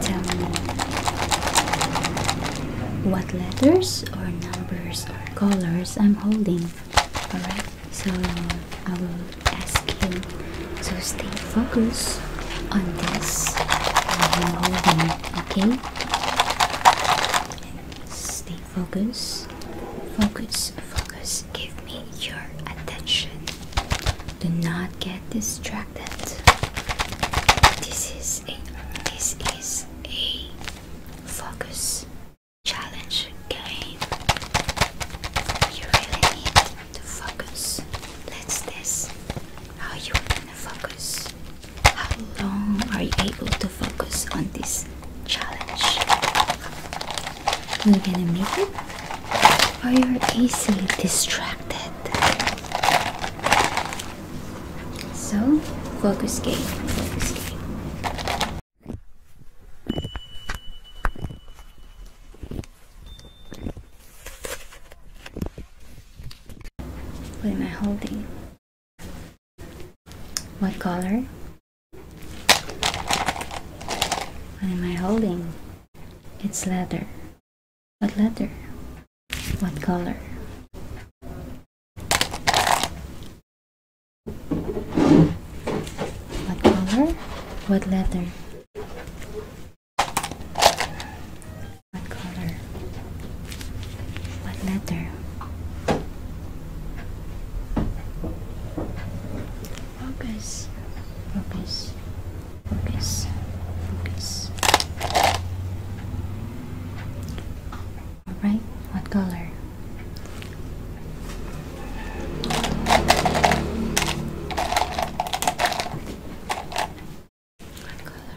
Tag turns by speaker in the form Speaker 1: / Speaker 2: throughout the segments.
Speaker 1: Tell me, what letters or numbers or colors I'm holding. Alright, so I will ask you to stay focused on this. I'm holding, okay? Stay focused. Focus, focus. Give me your attention. Do not get distracted. This is a this is a focus challenge game. You really need to focus. Let's test how you wanna focus. How long are you able to focus on this challenge? You're gonna make it, Are you easily distracted. So, focus game, focus game. What am I holding? What color? What am I holding? It's
Speaker 2: leather. What leather? What color?
Speaker 1: What color? What leather? What color? What letter? Focus. Focus. Focus. Focus. Alright, what color? What
Speaker 2: color?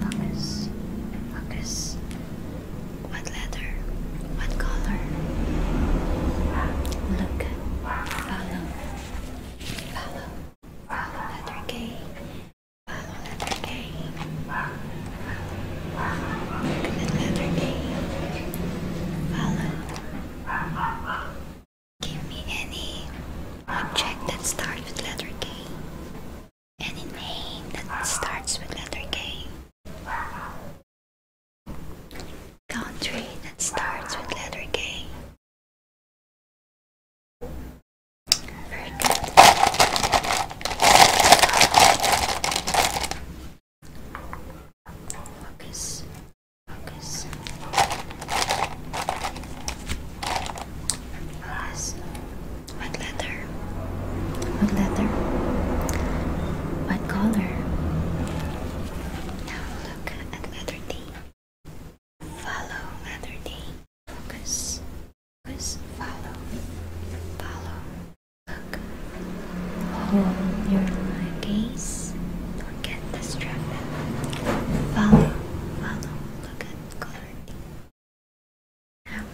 Speaker 1: Focus. Focus. What letter? What color? Look. Follow. Follow. Follow. Letter K. Another game. Another game. Follow. Give me any object that starts with letter K.
Speaker 2: Any name that starts with letter K. Country that starts with letter K. Focus. Focus.
Speaker 1: What letter? What letter? What color? Now look at letter D. Follow other name. Focus. Focus. Follow. Follow. Look. Hold your line gaze. Don't get distracted.
Speaker 2: Follow. Follow. Look at color. Now,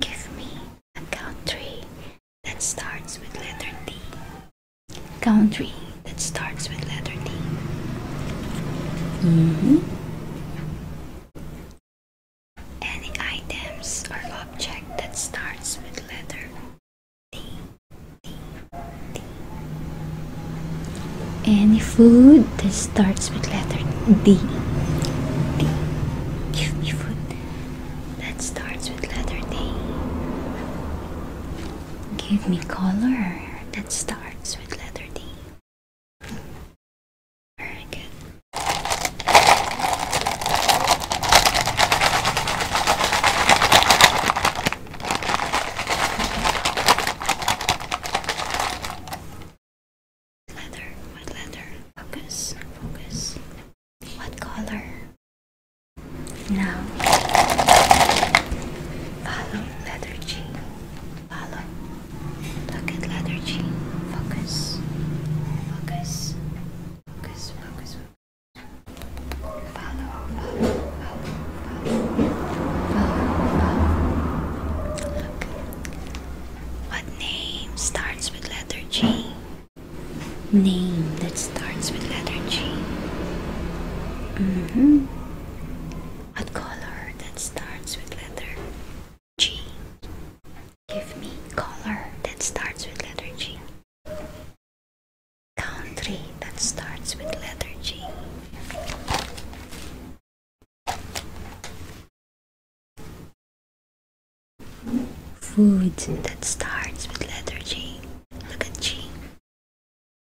Speaker 2: give me a country that starts with letter D.
Speaker 1: Country that starts with letter D. Mm -hmm.
Speaker 2: Any items or object that starts with letter D.
Speaker 1: Any food that starts with letter D. D. Give me food that starts with letter D. Give me color that starts with letter D. Very good. Leather, what leather? Focus, focus. What color? Now follow letter G. Follow. Pocket leather chain. Focus. Focus. Focus. Focus. Follow. Follow. Follow. Follow. What name starts with letter G? Name that starts with letter G. hmm
Speaker 2: a color that starts with letter G. Give me color that starts with letter G. Country that starts with letter G. Food that starts with letter G. Look at G.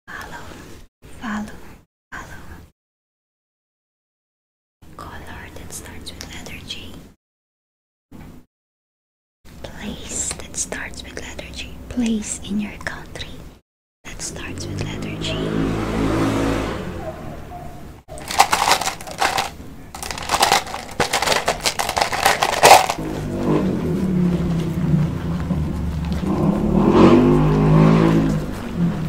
Speaker 2: Follow, follow, color that starts with letter G. Place that starts with letter G. Place in your country that starts with letter
Speaker 1: G.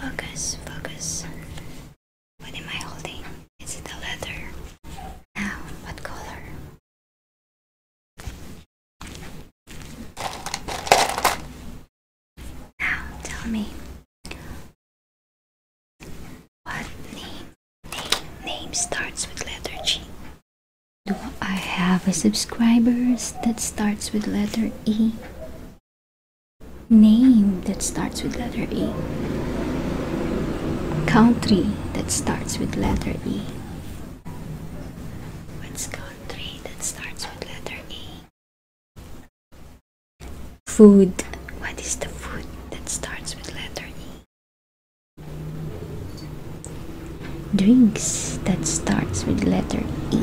Speaker 1: Focus, focus.
Speaker 2: What am I holding? Is it a leather? Now, what color? Now, tell me, what name, name, name starts with letter G?
Speaker 1: Do I have a subscribers that starts with letter E? Name that starts with letter E.
Speaker 2: Country that starts with letter E. What's country that starts with letter E? Food. What is the food that starts with letter E?
Speaker 1: Drinks that starts with letter E.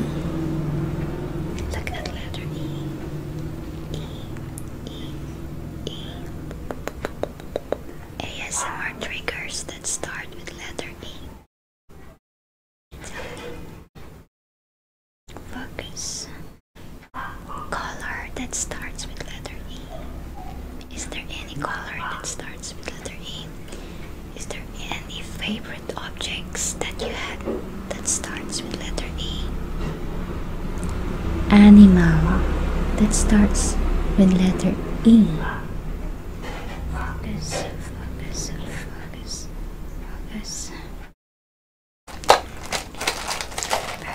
Speaker 1: Look at letter E.
Speaker 2: ASMR triggers that start with letter E. Focus color that starts with letter
Speaker 1: E? Is there any color that starts with letter E? Is there any favorite objects that you had that starts with letter E? Animal that starts with letter E. Focus, focus, focus, focus. Now,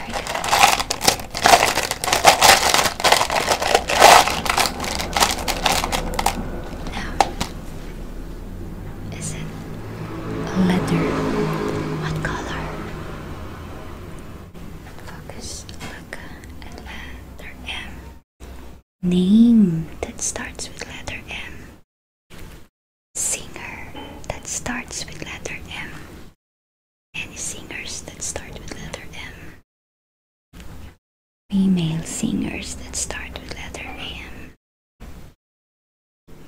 Speaker 2: is it a letter? What color? Focus. Look at M. Name that starts with letter M. Singer that starts with letter M. Any singers that start with letter M. Female singers that start with letter M.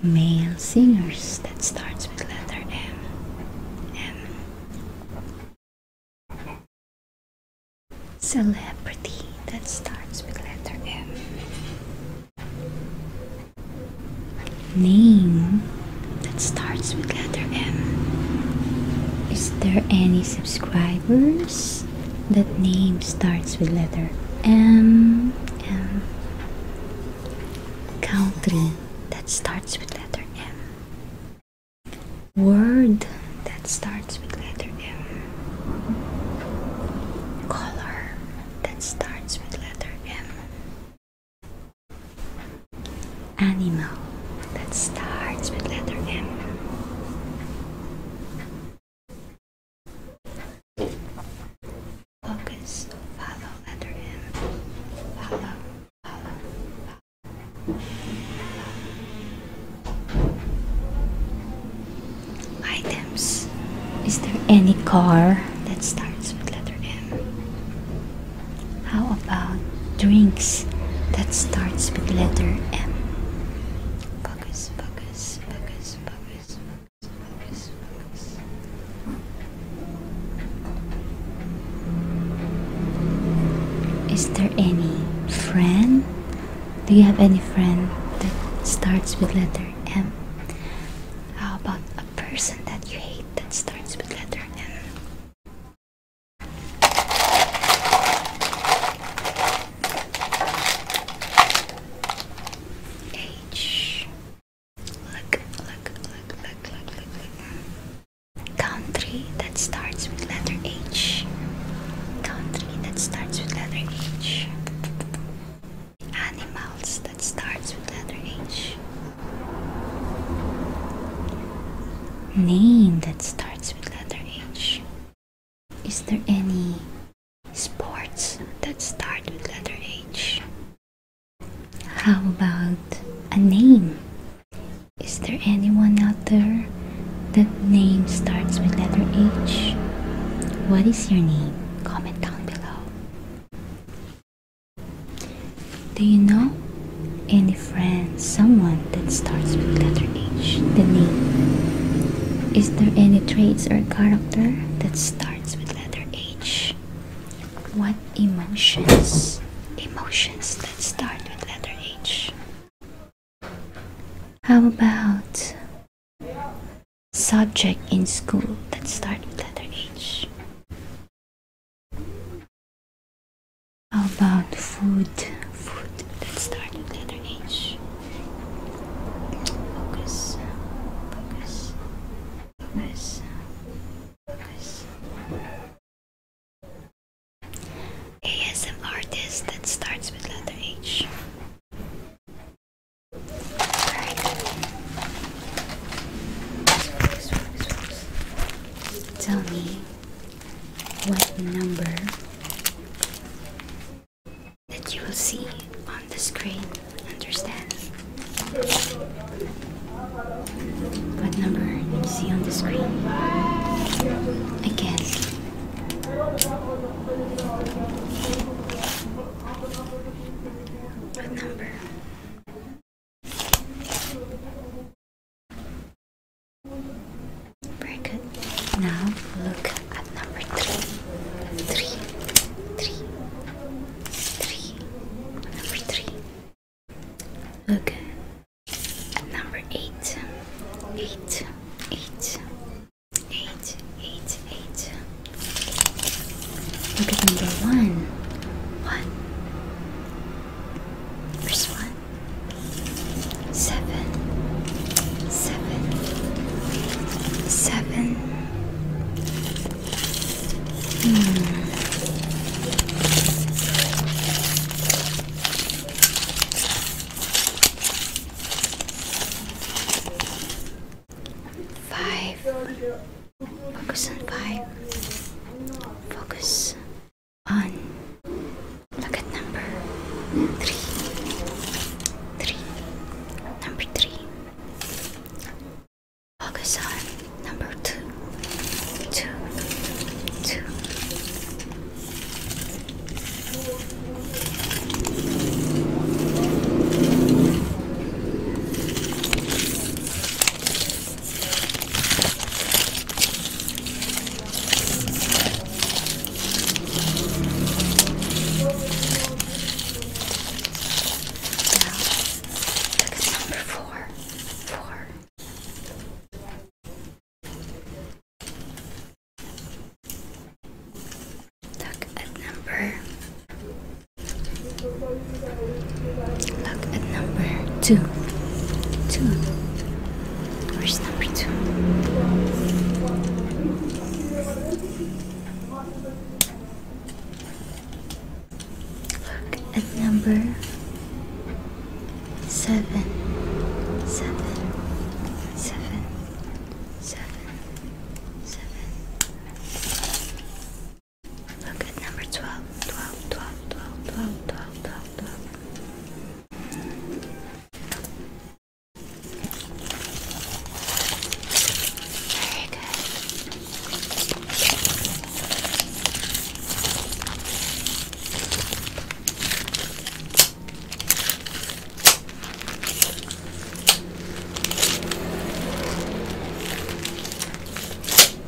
Speaker 2: Male singers that starts with letter M. M. Celebrity that starts with letter M
Speaker 1: name that starts with letter M. Is there any subscribers that name starts with letter M? M. Country that starts with letter M. Word that starts with letter M. Color that starts with letter M.
Speaker 2: Animal that starts with letter M. Focus, follow letter M.
Speaker 1: Items. Is there any car that starts with letter M? How about drinks that starts with letter M? Focus, focus, focus, focus, focus, focus. Is there any friend? Do you have any friend that starts with letter M? How about a person that you hate that starts with letter M? H. Look, look, look, look, look, look, Country that starts with letter H. Country that starts with letter H. Animals that starts with letter H. Name that starts with letter H. Is there any sports that start with letter H? How about a name? Is there anyone out there that name starts with letter H? What is your name? Comment down below. Do you know any friends, someone that starts with letter H, the name? Is there any traits or character that starts with letter H? What emotions,
Speaker 2: emotions that start with letter H?
Speaker 1: How about
Speaker 2: subject in school that start with letter H? How about food? Food. Let's start with letter H.
Speaker 1: Focus. Focus. Focus.
Speaker 2: Focus. ASM artist that starts with letter H.
Speaker 1: Tell me what number that you will see on the screen. Understand? What number you see on the screen? Again.
Speaker 2: What number? Very good. Now look at number three. Three. Number three. Look
Speaker 1: at number eight.
Speaker 2: Look at number one. What? Where's one?
Speaker 1: Seven. Seven. Seven. Hmm. Five. Focus on five. Focus on. Look at number three. Three. Number three. Focus on number two. Two. Look at number four. Four. Look number Look at number two. Two. Where's number two? Look at number seven. Seven. Seven. Seven. Seven. Look at number 12, 12, 12, 12, 12, 12, 12, 12. Very good.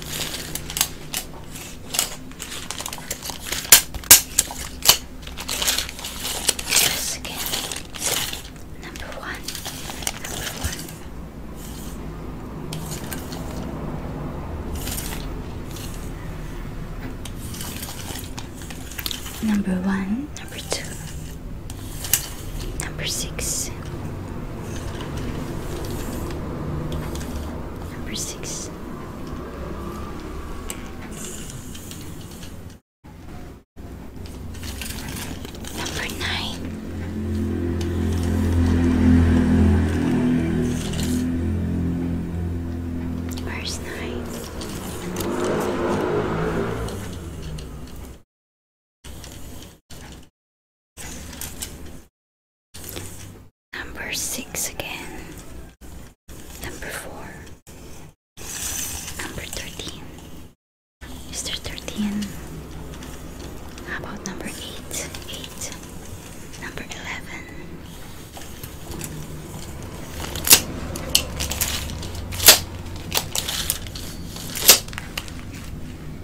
Speaker 1: Once again, number one, number one, number one, number two. Number six. Number six. Number nine. Where's nine? Number six again. Number four. Number thirteen. Is there thirteen? How about number eight? Eight. Number eleven.